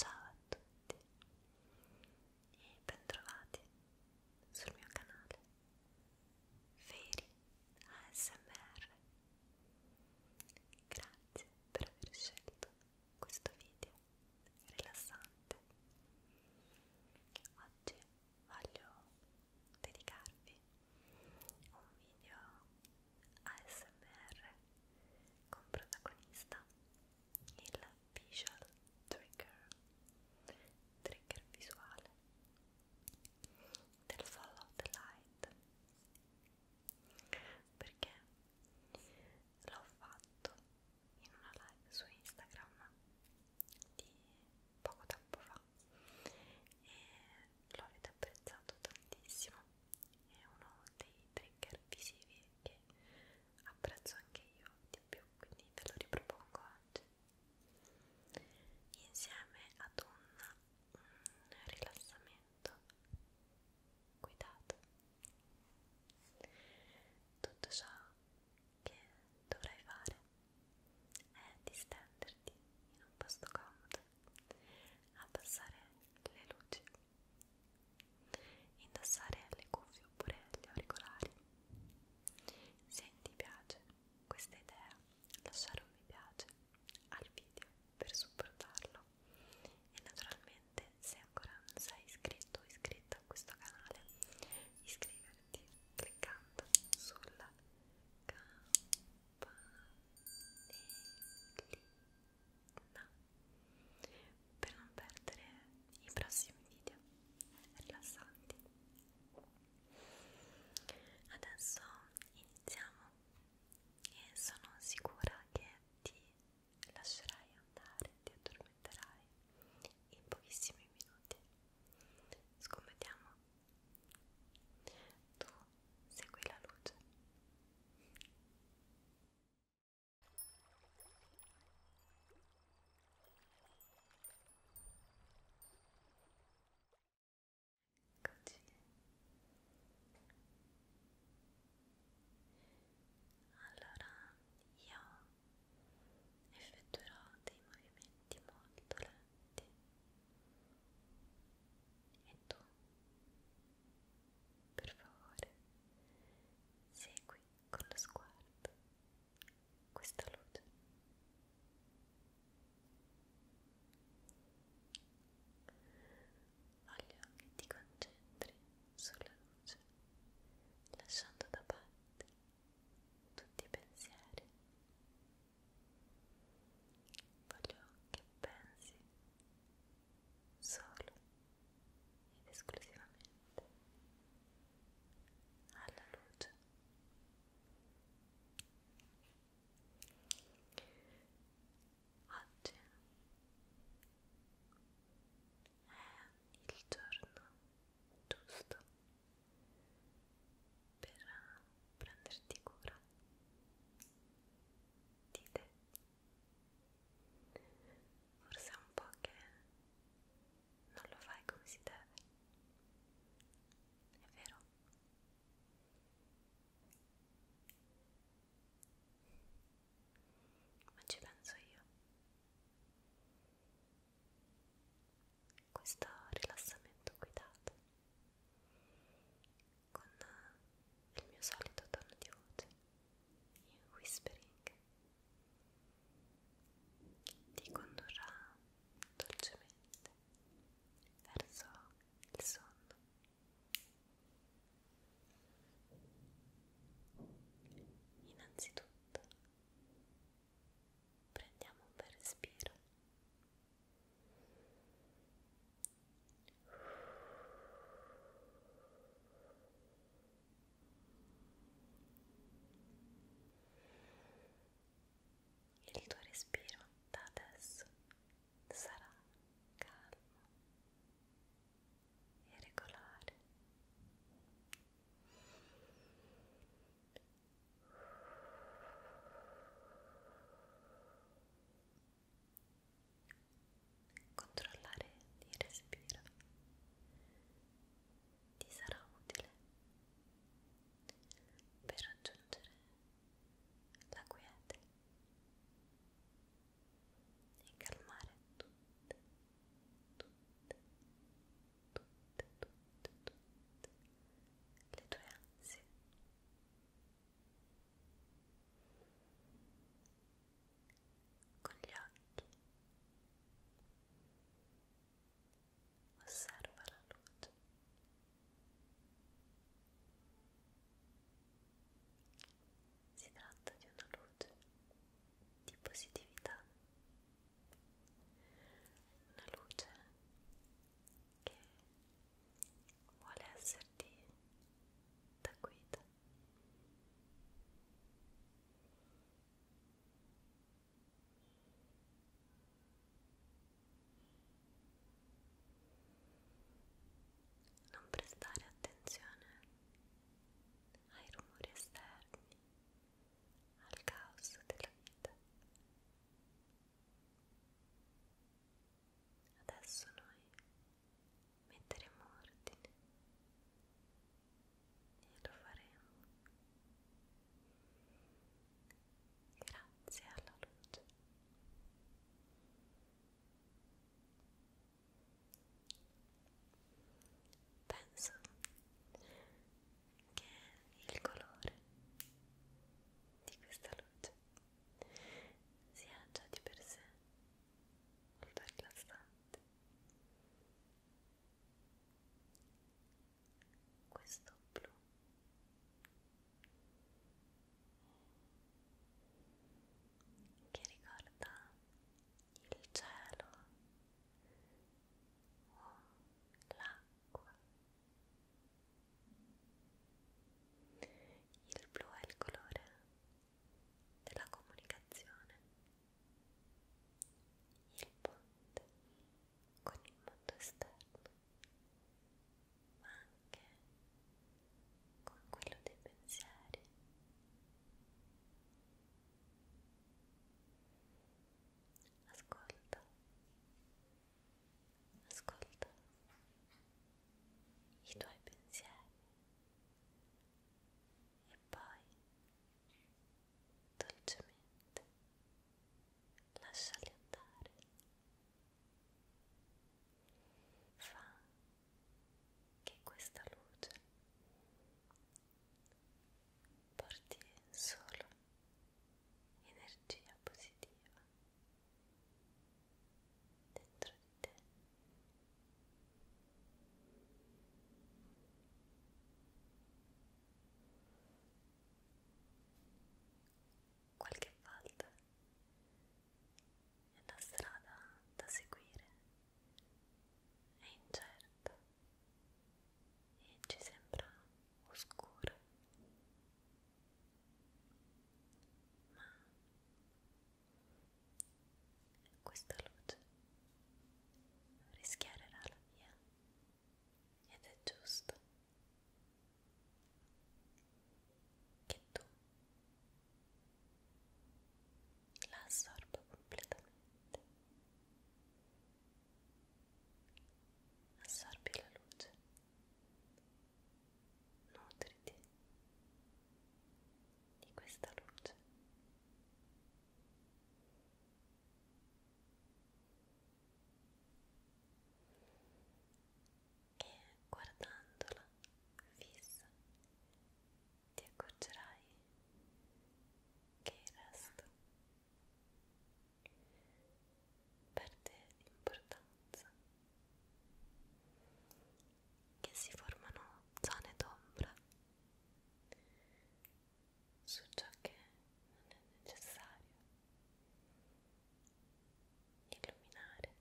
Ciao a tutti e bentrovati sul mio canale Feri ASMR. Grazie per aver scelto questo video rilassante. Oggi voglio dedicarvi un video ASMR con protagonista il visual trigger trigger visuale del follow the light perché l'ho fatto in una live su Instagram di poco tempo fa e l'avete apprezzato tantissimo è uno dei trigger visivi che apprezzo anche io di più, quindi ve lo ripropongo oggi insieme ad un rilassamento guidato. Tutto ciò che dovrai fare è distenderti in un posto comodo, abbassare le luci indossare le cuffie oppure gli auricolari se ti piace questa idea lasciare un mi piace al video per supportarlo e naturalmente se ancora non sei iscritto o iscritta a questo canale iscriverti cliccando sulla campanellina per non perdere i prossimi video rilassanti. Adesso iniziamo e sono sicura che ti lascerai andare, ti addormenterai in pochissimi minuti. Scommettiamo. Tu segui la luce. Eccoci. Allora io effettuerò dei movimenti molto lenti e tu per favore, segui con lo sguardo questa luce. Voglio che ti concentri sulla luce, lasciando da parte tutti i pensieri. Voglio che pensi solo ed esclusivamente alla luce. Oggi è il giorno giusto per prenderti cura di te Forse è un po' che non lo fai come si deve, è vero? Ma ci penso io. Questo rilassamento guidato con eh, il mio solito tono di voce in whispering ti condurrà dolcemente verso il sonno innanzitutto prendiamo un bel respiro il tuo respiro da adesso sarà calmo e regolare. Controllare il respiro ti sarà utile per raggiungere la quiete e calmare tutte, tutte, tutte, tutte, tutte le tue ansie con gli occhi osserva la luce si tratta di una luce di positività una luce che vuole esserti da guida. Non prestare attenzione ai rumori esterni, al caos della vita. Adesso noi metteremo ordine e lo faremo grazie alla luce. Penso che il colore di questa luce si ha già di per sé molto rilassante questo blu che ricorda il cielo o l'acqua il blu è il colore della comunicazione, il ponte con il mondo esterno, ma anche con quello dei pensieri. Ascolta ascolta i tuoi pensieri e poi dolcemente lasciali andare. Fa che questa luce porti solo energia positiva dentro di te qualche volta la strada da seguire è incerta e ci sembra oscura ma questa luce rischiarerà la via ed è giusto che tu la assorba completamente assorbi la luce nutriti di questa luce. Che guardandola fissa ti accorgerai che il resto perde importanza, che si formano zone d'ombra su ciò che non è necessario illuminare. Ecco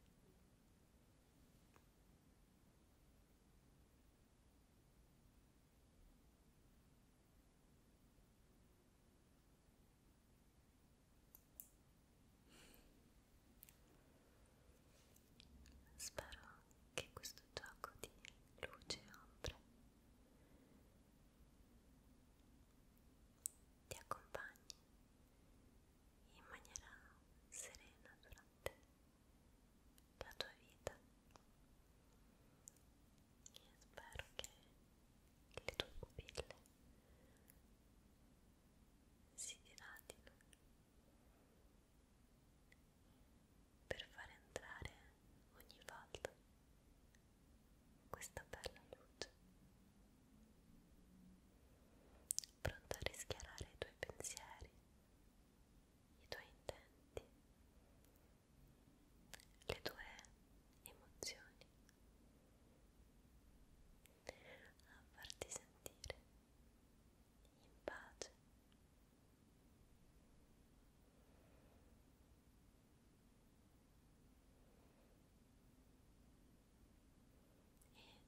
Spero che questo gioco di luce e ombre ti accompagni in maniera serena durante la tua vita e spero che le tue pupille si dilatino per far entrare ogni volta questa bella luce pronta a rischiarare i tuoi pensieri i tuoi intenti le tue emozioni a farti sentire in pace.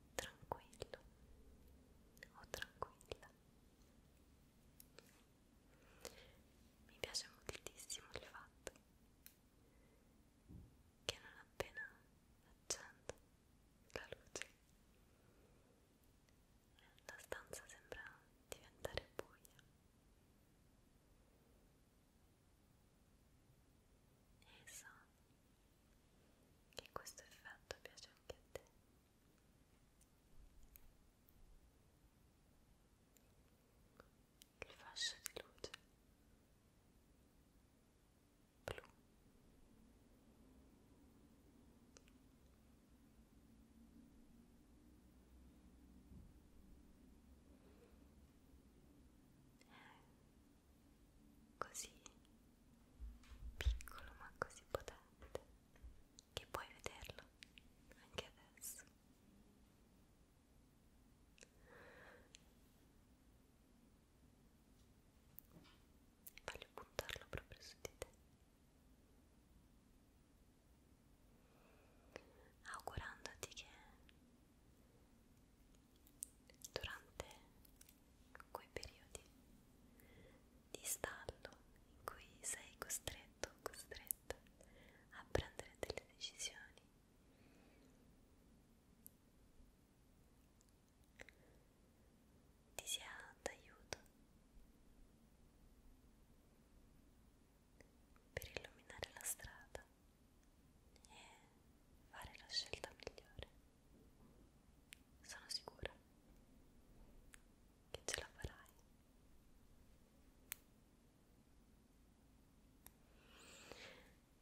E tranquillo o tranquilla. Mi piace moltissimo il fatto che non appena accendo la luce la stanza sembra diventare buia e so che questo effetto piace anche a te il fascio di luce blu eh, così piccolo ma così potente che puoi vederlo anche adesso Voglio buttarlo proprio su di te. Augurandoti che durante quei periodi di stallo in cui sei costretto o costretta a prendere delle decisioni ti sia d'aiuto per illuminare la strada e fare la scelta migliore. Sono sicura che ce la farai.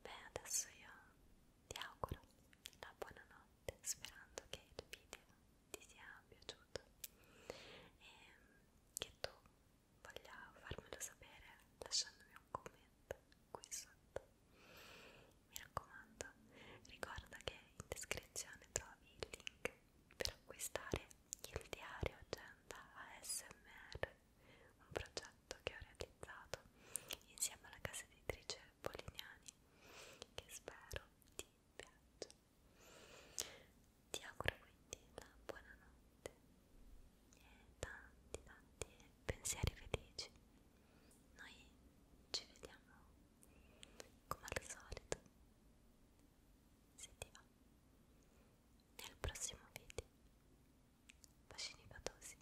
Beh, adesso io ti auguro una buona notte, sperando che il video ti sia piaciuto e che tu voglia farmelo sapere lasciandomi un commento qui sotto. Mi raccomando, ricorda che in descrizione trovi il link per acquistare il diario Agenda ASMR, un progetto che ho realizzato insieme alla casa editrice Polignani che spero ti piaccia. Ti auguro quindi la buonanotte e tanti tanti pensieri felici. Noi ci vediamo come al solito se ti va nel prossimo video bacini patosi